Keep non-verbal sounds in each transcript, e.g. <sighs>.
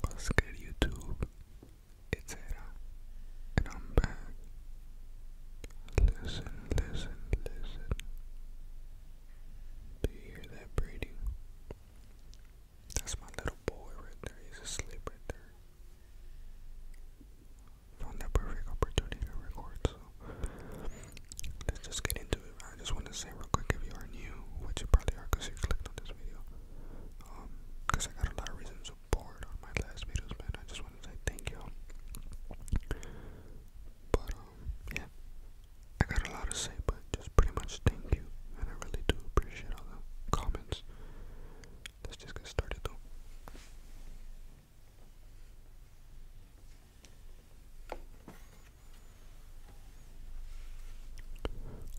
What's good, YouTube? It's Era, and I'm back. Listen, listen, listen. Do you hear that breathing? That's my little boy right there. He's asleep right there. Found that perfect opportunity to record, so let's just get into I just want to say real quick if you are new, which you probably are because you clicked on this video, because um, I got a lot of reasons to bored on my last videos, man. I just want to say thank you. But, um, yeah, I got a lot to say, but just pretty much thank you, and I really do appreciate all the comments. Let's just get started though.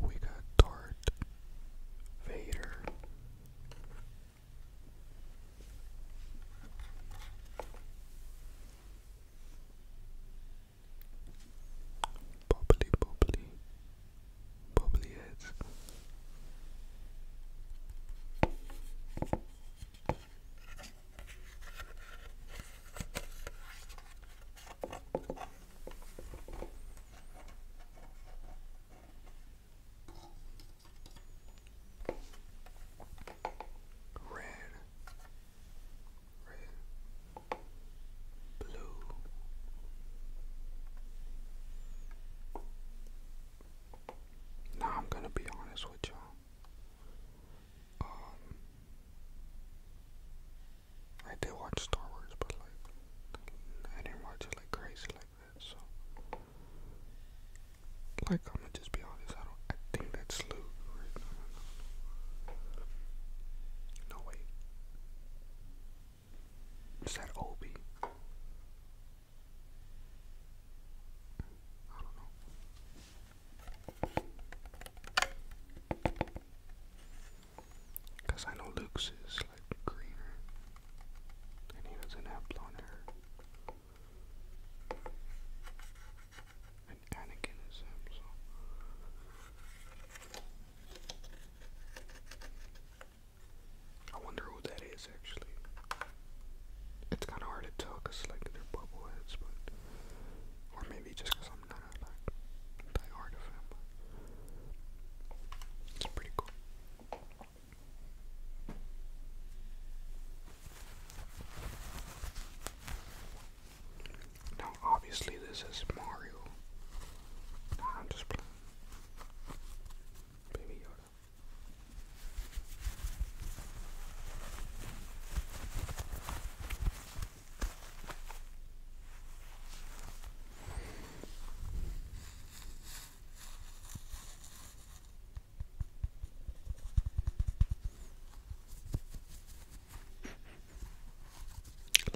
We got Darth Vader. Bubbly, bubbly, bubbly heads. Red, red, blue, now I'm gonna be honest with y'all. Um, I did watch Star Wars, but like, I didn't watch it like crazy like that, so. Like, I'm gonna just be honest, I don't, think that's Luke, No, no, no. no wait. Is that Obi? I don't know. Cause I know Luke's is like greener, and he doesn't have blonde hair. And Anakin is him, I wonder who that is actually. It's kind of hard to tell because like they're bubble but or maybe just because I'm not a like, diehard of him. It's pretty cool. Now, obviously, this is Mario. I'm just playing. Baby Yoda.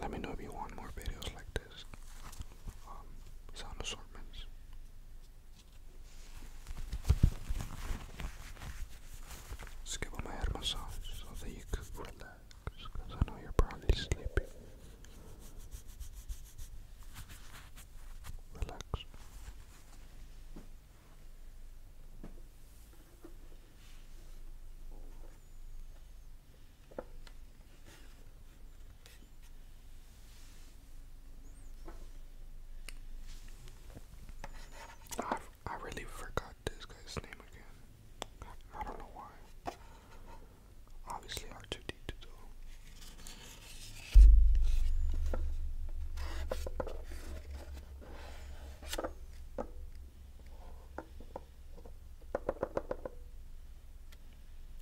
Let me know if you want more videos like this. Um, sound assortments. Let's give massage so that you could because I know you're probably sleepy. Relax. I I really forgot this guy's name again. I don't know why. Obviously, R2D2 though.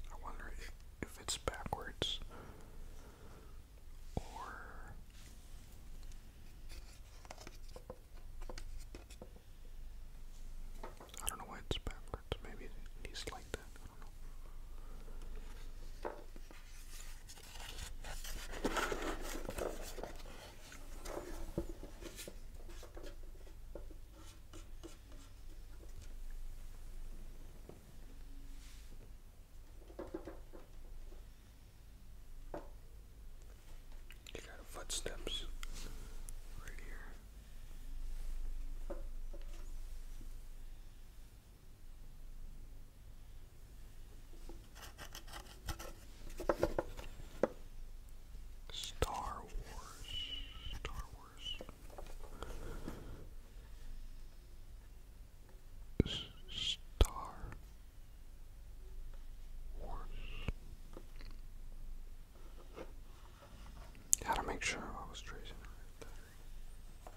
I wonder if it's backwards or I don't know why it's backwards. Maybe it needs like that. You got footsteps right here. Star Wars. Star Wars. Star Wars. How to make sure I was tracing the right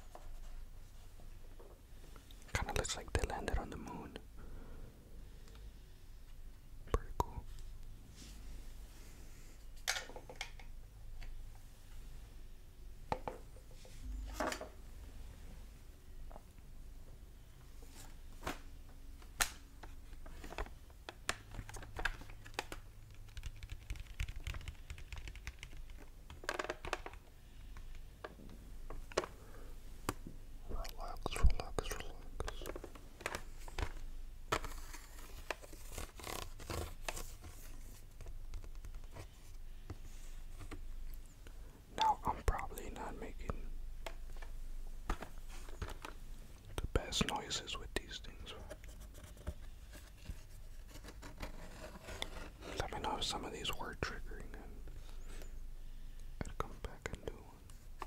Kind of looks like they landed on the moon. Pretty cool. Relax, relax, relax. Now I'm probably not making the best noises with these things. Let me know if some of these were triggering and come back and do one.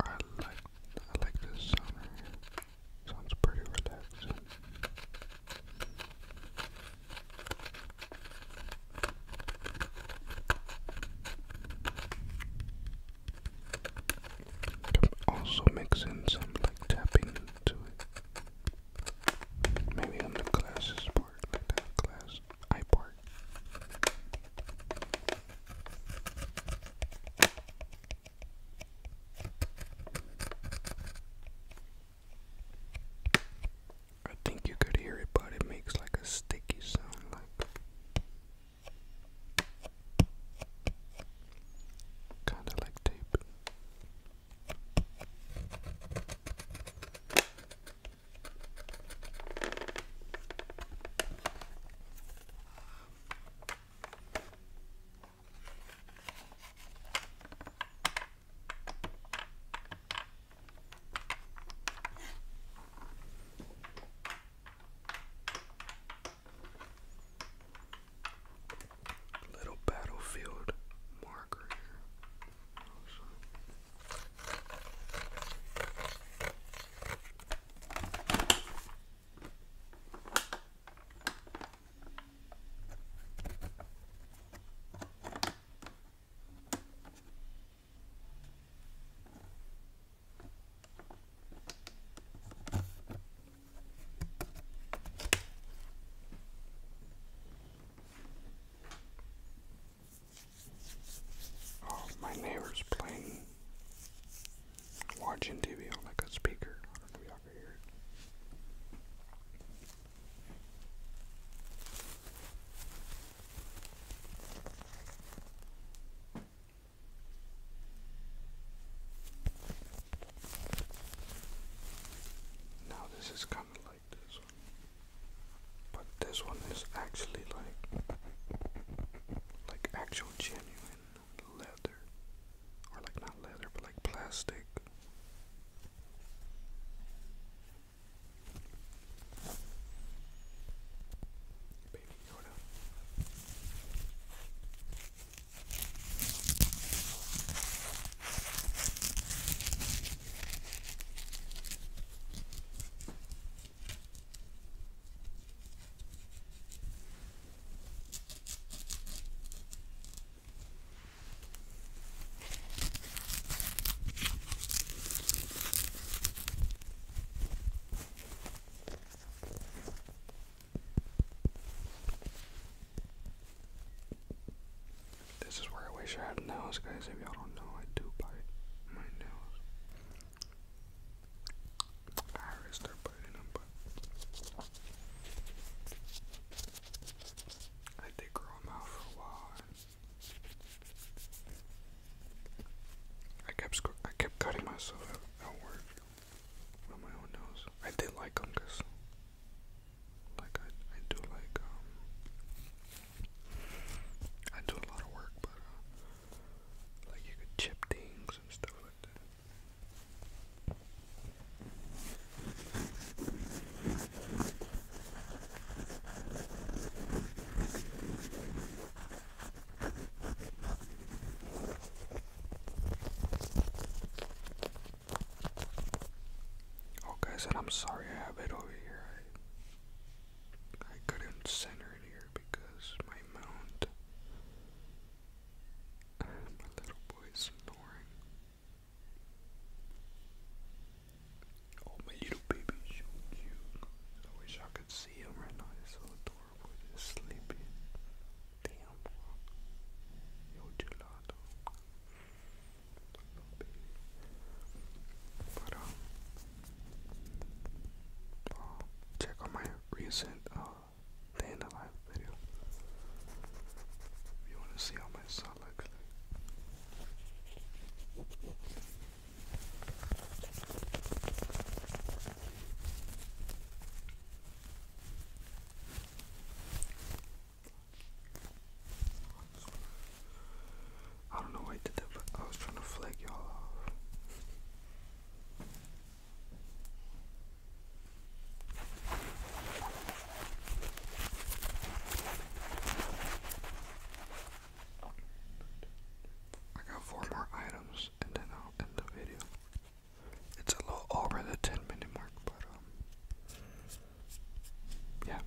I like I like this sound Sounds pretty relaxing. Could also mix in some like tapping to it. Maybe on the glasses part, like glass eye part. I think you could hear it, but it makes like a sticky sound, like kind of like tape. Little battlefield marker Oh, my neighbor's playing, watching TV on like a speaker. I don't know if y'all can hear it. Now this is kind of like this one, but this one is actually like like actual genuine leather, or like not leather, but like plastic. Baby Yoda. This is where I wish I had nails, guys. If y'all don't know, I do bite my nails. I already start biting them, but I did grow them out for a while. I kept cutting myself out, outward on my own nose. I did like Ungus. Like I, I do like um. I do a lot of work, but uh, like you could chip things and stuff like that. Oh guys, and I'm sorry I have it over here. I, I couldn't center it here because my mount <sighs> my little boy's snoring. Oh, my little baby's so cute. I wish I could see him right now. He's so adorable. He's sleeping. Damn. Yo, gelato. Um, oh, check out my recent, uh, day video. you want to see how my son looks I don't know why I did that, but I was trying to flag y'all off. I got four more items and then I'll end the video. It's a little over the 10 minute mark, but um, yeah.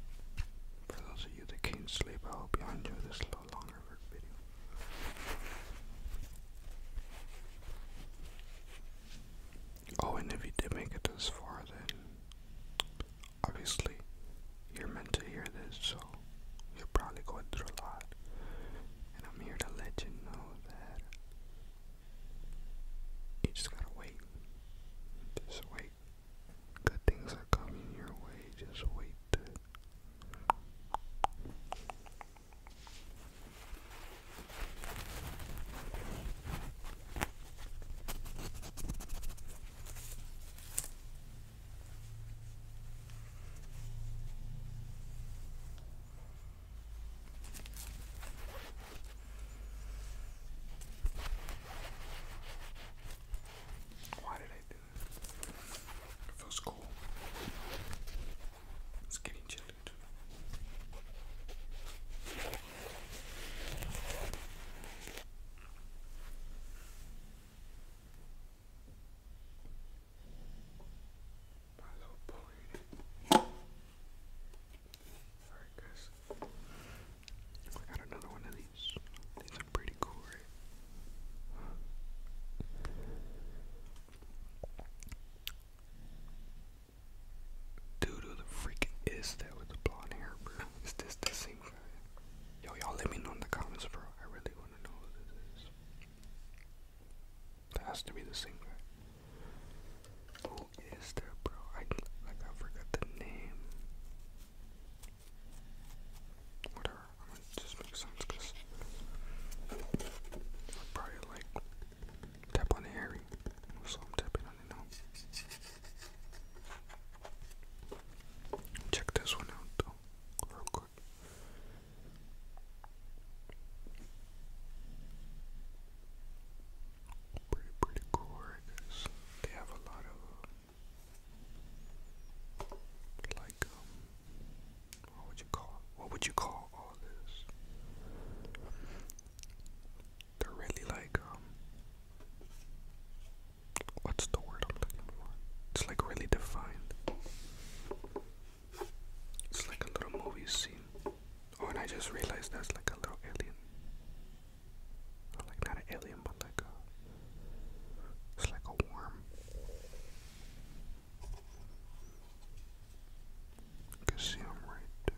For those of you that can't sleep, I hope you enjoy this little longer video. Oh, and if you did make it this far, then obviously you're meant to hear this, so you're probably going through a lot. And I'm here to let you know that you just gotta wait. Just wait. Good things are coming your way. Just wait. Why did I do that? It feels cool. It's getting chilly too. My little pony. Alright, guys. I got another one of these. These are pretty cool, Dude, who the freak is that with the blonde hair, bro? Is this the same guy? Yo, y'all let me know in the comments, bro. I really want That has to be the singer. Who is there, bro? I like I forgot the name. Whatever. just make sense because I'll probably like tap on Harry. So I'm tapping on it now. Check this one out though. Pretty, pretty They have a lot of, like, um, what would you call, what would you call all this? They're really like, um, what's the word I'm looking for? It's like really defined. It's like a little movie scene. Oh, and I just realized that's like a little alien. like not an alien, but like a. It's like a worm. You see him right there.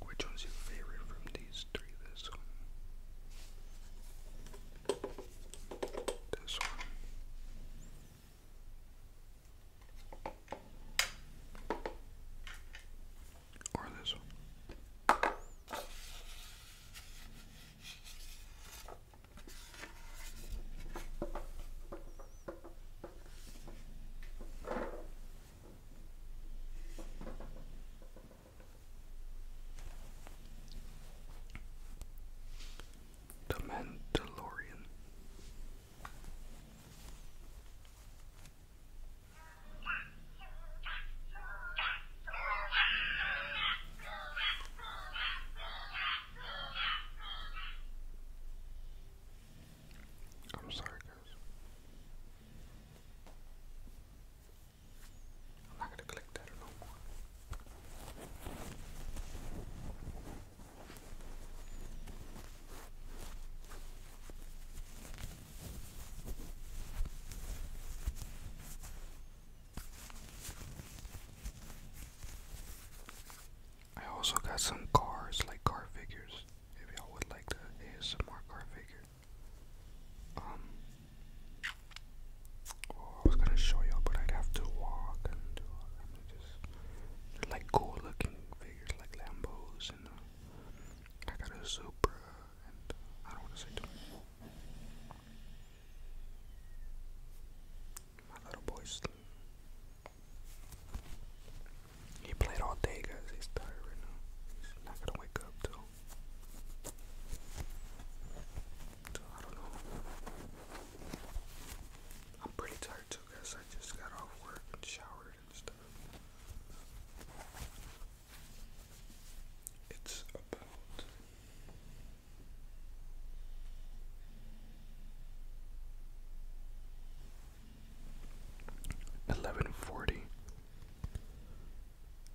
Which one's your favorite from these three? This one. This one. Or this one. The Mandalorian. I'm sorry, guys. I'm gonna click that no I also got some cars, like car figures, if y'all would like the ASMR car figure. Um, oh, I was gonna show y'all, but I'd have to walk and do all that. Just, like cool looking figures, like Lambos, and uh, I got a Supra, and uh, I don't want to say too much. My little boy's. He played all day, guys. He's tired right now. He's not gonna wake up till. I don't know. I'm pretty tired too, guys. I just got off work and showered and stuff. It's about Eleven forty,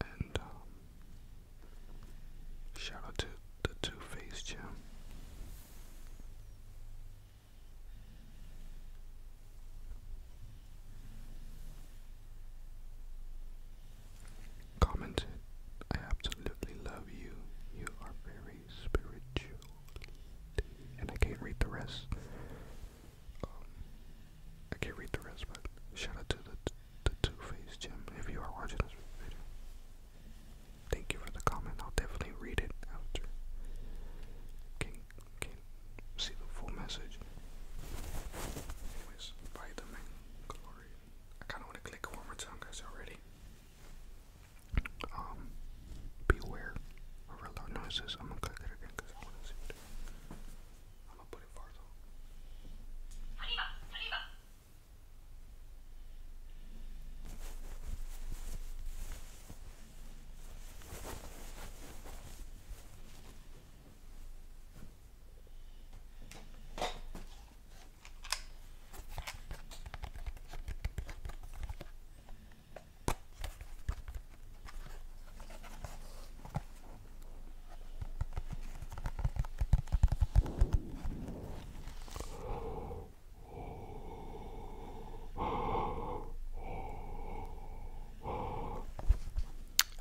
and um, shout out to the Two Face Gym commented, I absolutely love you. You are very spiritual. And I can't read the rest. Um, I can't read the rest, but shout out to the, the Two Face Gym if you are watching this video. Thank you for the comment. I'll definitely read it after. Can can see the full message. Anyways, by the Mandalorian. I kind of want to click one more time, guys. Already. Um, beware of loud noises. I'm gonna cut it again because I want to see it. I'm gonna put it far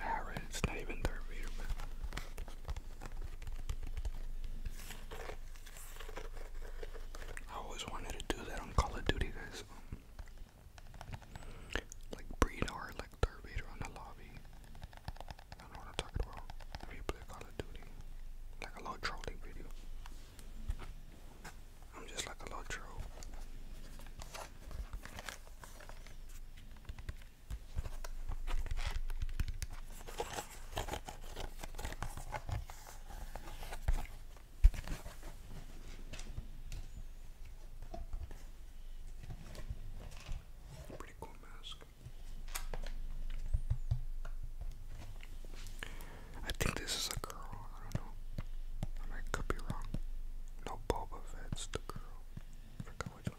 Alright, it's not even third reader, I always wanted to do that on Call of Duty, guys. Like breed like Darth Vader the lobby. I don't know what i about. If play Call of Duty, like a little trolling video. I'm just like a little troll. Pretty cool mask. I think this is a girl. I don't know. I could be wrong. No Boba Fett's the girl. which one.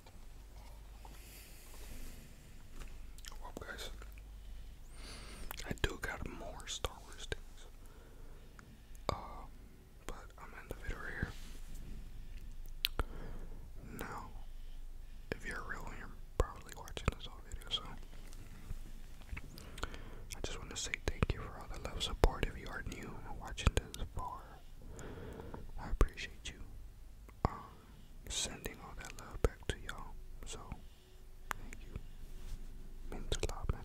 Well, guys, I do got more Star Wars things, um, but I'm in the video here. Now, if you're real, you're probably watching this whole video, so I just want to say thank you for all the love support. If you are new and watching this far, I appreciate you. Um, sending all that love back to y'all. So, thank you. Means a lot, man.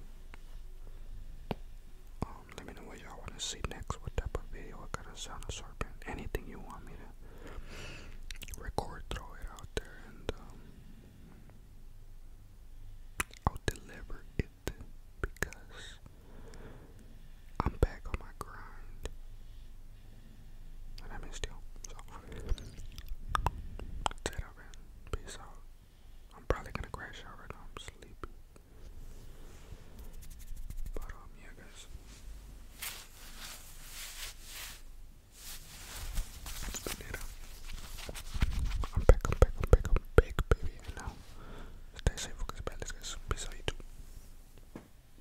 Um, let me know what y'all want to see next. What type of video? What kind of sound assortment? Anything you want me to record, throw it out there, and um, I'll deliver it because I'm back on my grind. And I missed you. So that's it, i Peace out. I'm probably gonna crash out right now. I'm sleepy. But um yeah guys. That's I'm back, I'm back, I'm back, I'm back, baby. now stay safe, focus bad. let peace out you too.